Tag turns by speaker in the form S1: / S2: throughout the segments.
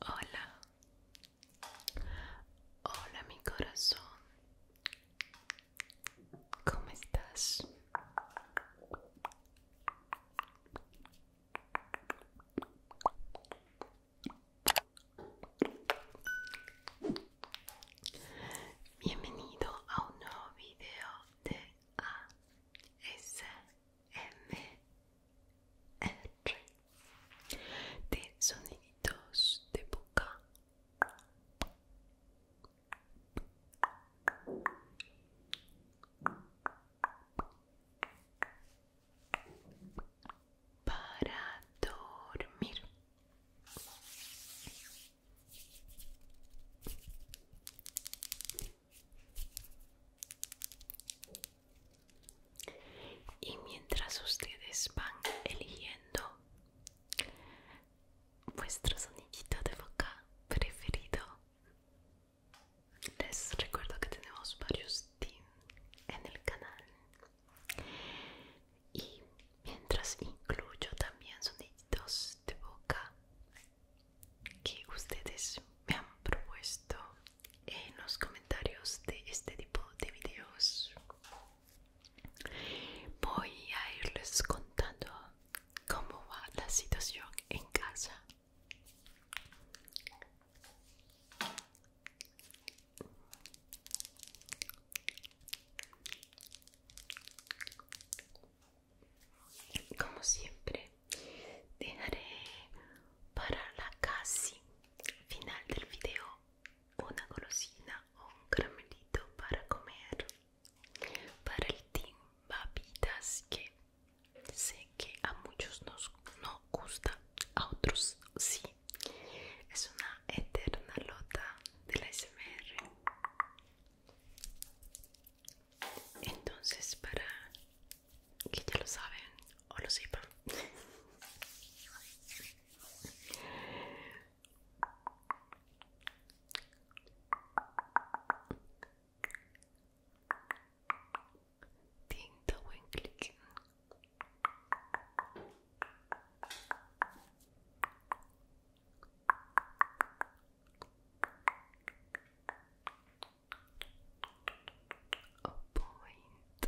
S1: Hola, hola mi corazón, ¿cómo estás? Bienvenido a un nuevo video D-A-S-M-R de sonidos de boca. Para dormir. Y mientras ustedes van eligiendo vuestro sonidito de boca preferido, les recuerdo que tenemos varios tim en el canal y mientras incluyo también sonidos de boca que ustedes me han propuesto en los comentarios de este tipo de videos voy a irles contando cómo va la situación en casa como siempre dejaré para la casi final del video una golosina o un caramelito para comer para el team babitas que sé que a muchos nos no gusta a otros sí es una eterna lota de la SMR entonces, para que ya lo saben o lo sepan, tinta buen clic point.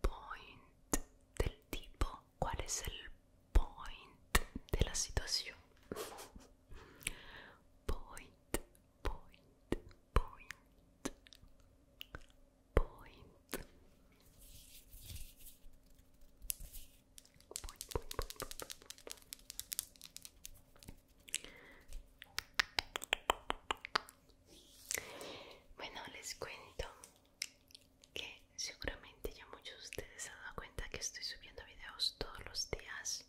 S1: Point del tipo. ¿Cuál es el point de la situación? Point, point, point. Point. Bueno, les cuento que seguramente ya muchos de ustedes se han dado cuenta que estoy subiendo videos todos los días.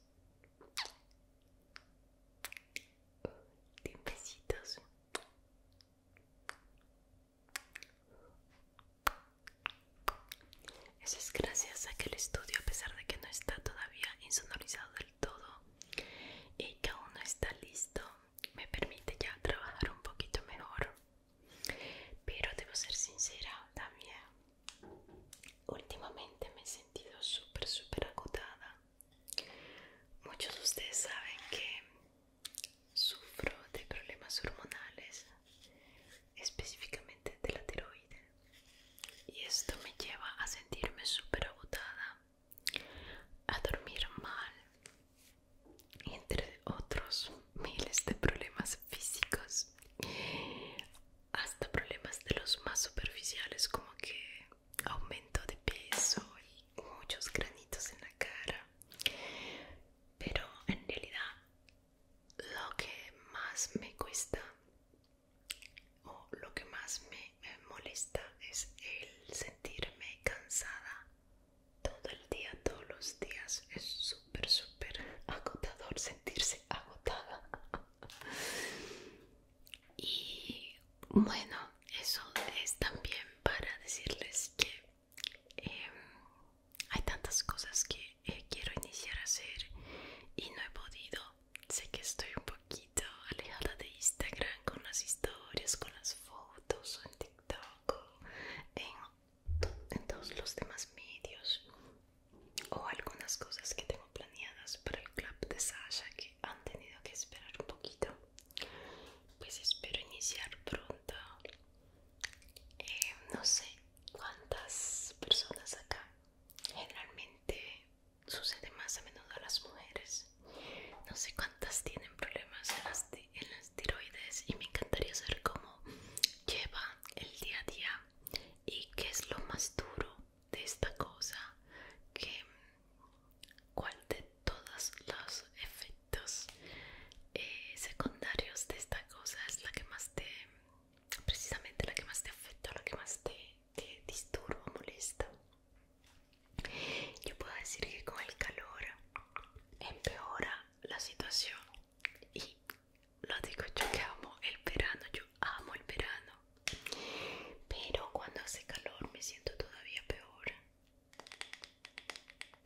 S1: Eso es gracias a que el estudio, a pesar de que no está todavía insonorizado del todo y que aún no está listo, me permite ya trabajar un poquito mejor. Pero debo ser sincera también. Últimamente me he sentido súper, súper agotada. Muchos de ustedes saben que sufro de problemas hormonales específicamente de la tiroides. Y esto me lleva a sentirme super agotada, a dormir mal, entre otros miles de problemas físicos, hasta problemas de los más superficiales como que aumento de peso y muchos granitos en la cara. Pero en realidad lo que más me cuesta o lo que más me, molesta es el sentirme cansada todo el día, todos los días. Es súper, súper agotador sentirse agotada. y bueno, eso es también para decirles que Em, hay tantas cosas que eh, quiero iniciar a hacer y no he podido. Sé que estoy un poquito alejada de Instagram con las historias, con las fotos, en TikTok, en, todos los demás medios o algunas cosas que tengo planeadas para el club de Sasha que han tenido que esperar un poquito. Pues espero iniciar pronto. Em, no sé, cuántas personas acá generalmente sucede más a menudo a las mujeres no sé cuántas tienen problemas en las, tiroides y me encantaría saber cómo lleva el día a día y qué es lo más duro de esta cosa que cuál de todos los efectos eh, secundarios de esta cosa es la que más te precisamente la que más te afecta la que más te, disturba molesta. Yo puedo decir que con el calor empeora la situación y lo digo yo que amo el verano, yo amo el verano, pero cuando hace calor me siento todavía peor.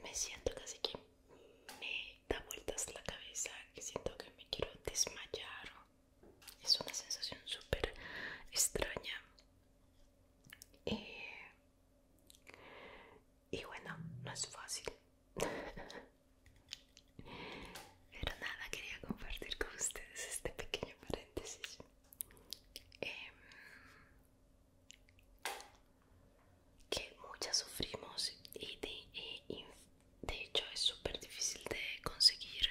S1: Me siento casi que me da vueltas la cabeza que siento que me quiero desmayar es una sensación súper extraña eh, y bueno no es fácil pero nada quería compartir con ustedes este pequeño paréntesis em, que muchas sufrimos y eh, de, hecho es súper difícil de conseguir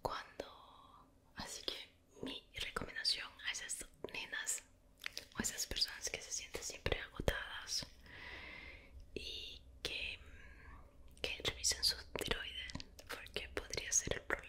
S1: cuando así que mi recomendación a esas nenas o esas personas que se sienten siempre agotadas y que, que revisen su tiroides porque podría ser el problema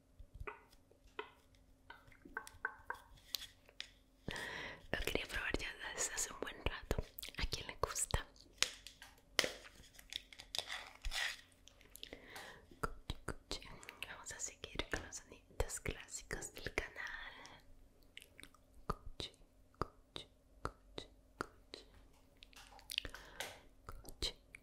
S1: Lo quería probar ya desde hace un buen rato. ¿A quién le gusta? Vamos a seguir con los sonidos clásicos del canal.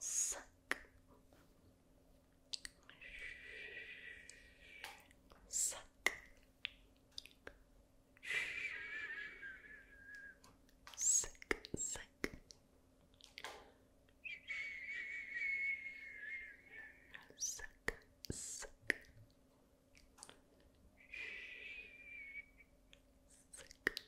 S2: Cinq. Cinq. Cinq. Cinq. Cinq. Cinq. Sick,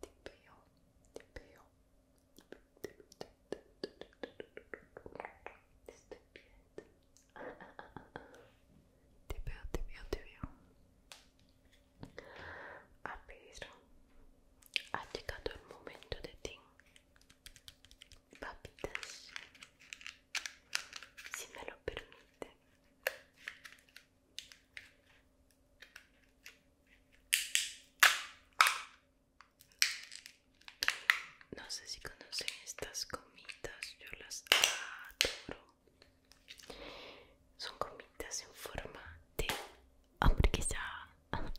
S1: Te veo, te veo. Te estoy veo, Te veo, te veo, te veo. A ha llegado el momento de ti. Papitas, si me lo permite, no sé si conocen estas gomitas, yo las adoro. Son comitas en forma de hamburguesa.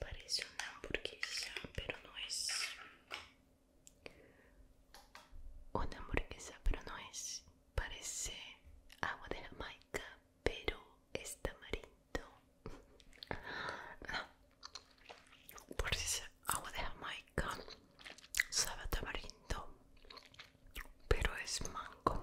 S1: Parece una hamburguesa, pero no es. Una hamburguesa, pero no es. Parece agua de Jamaica, pero es tamarindo. no. Por si es agua de Jamaica, sabe a tamarindo, pero es mango.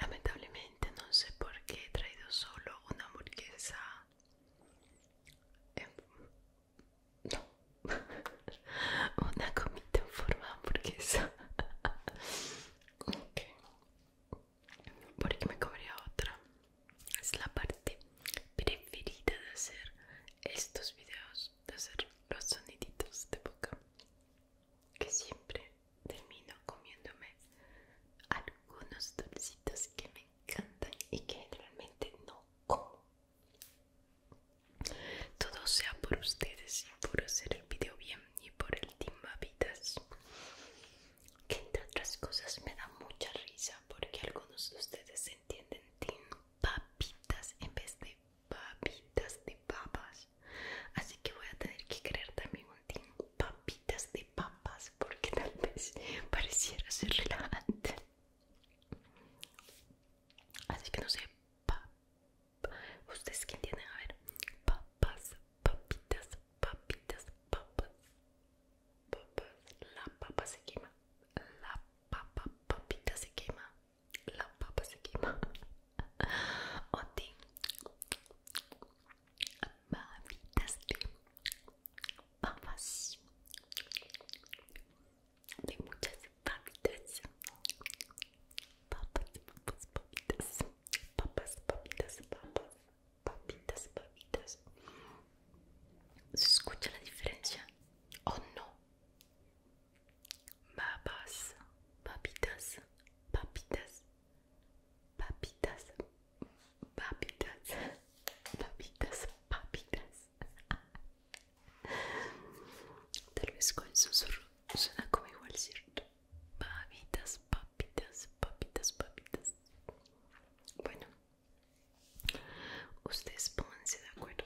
S1: Lamentablemente no sé por qué he traído solo una hamburguesa. una comida en forma porque hamburguesa porque me comería otra es la parte preferida de hacer estos videos de hacer los soniditos de boca que siempre termino comiéndome algunos dulcitos que me encantan y que realmente no como todo sea por ustedes y por hacer el video bien y por el Team papitas Que entre otras cosas me da mucha risa porque algunos de ustedes entienden Team Papitas en vez de papitas de papas. Así que voy a tener que crear también un Team Papitas de papas porque tal vez pareciera ser relevante. Así que no sé, papitas ustedes que tienen? a ver papas papitas papitas papas papas la papa se quema la papa papitas se quema la papa se quema Oti papitas papas de muchas papitas papas, papitas papas, papitas, papitas, papitas ¿se escucha la diferencia? ¿o oh, no? papas, papitas, papitas papitas, papitas papitas, papitas Tal vez con susurro suena como igual, ¿cierto? Papitas, papitas, papitas, papitas. Bueno, ustedes pónganse de acuerdo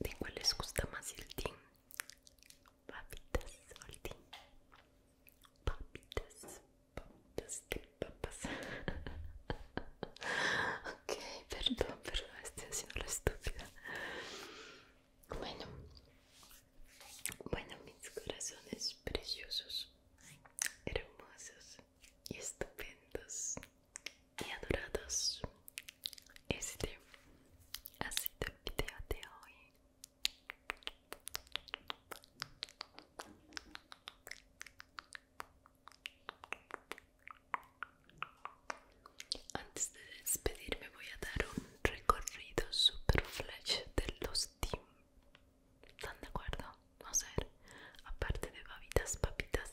S1: de cuál les gusta más el team. Papitas o el team. Papitas, papitas de papas. ok, perdón, perdón, estoy haciendo la estúpida. Bueno, bueno, mis corazones preciosos, hermosos y estupendos y adorados. Este ha sido el video de hoy. Antes de despedirme voy a dar un recorrido super flash de los team. ¿Están de acuerdo? Vamos a ver. Aparte de babitas, papitas.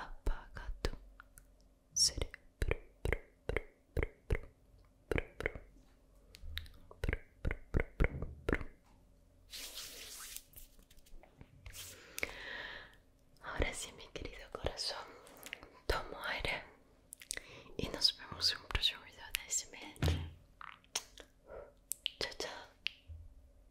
S2: apaga tu cerebro
S1: Ahora sí, mi querido corazón, tomo aire y nos vemos en un próximo video de ese Chao, chao.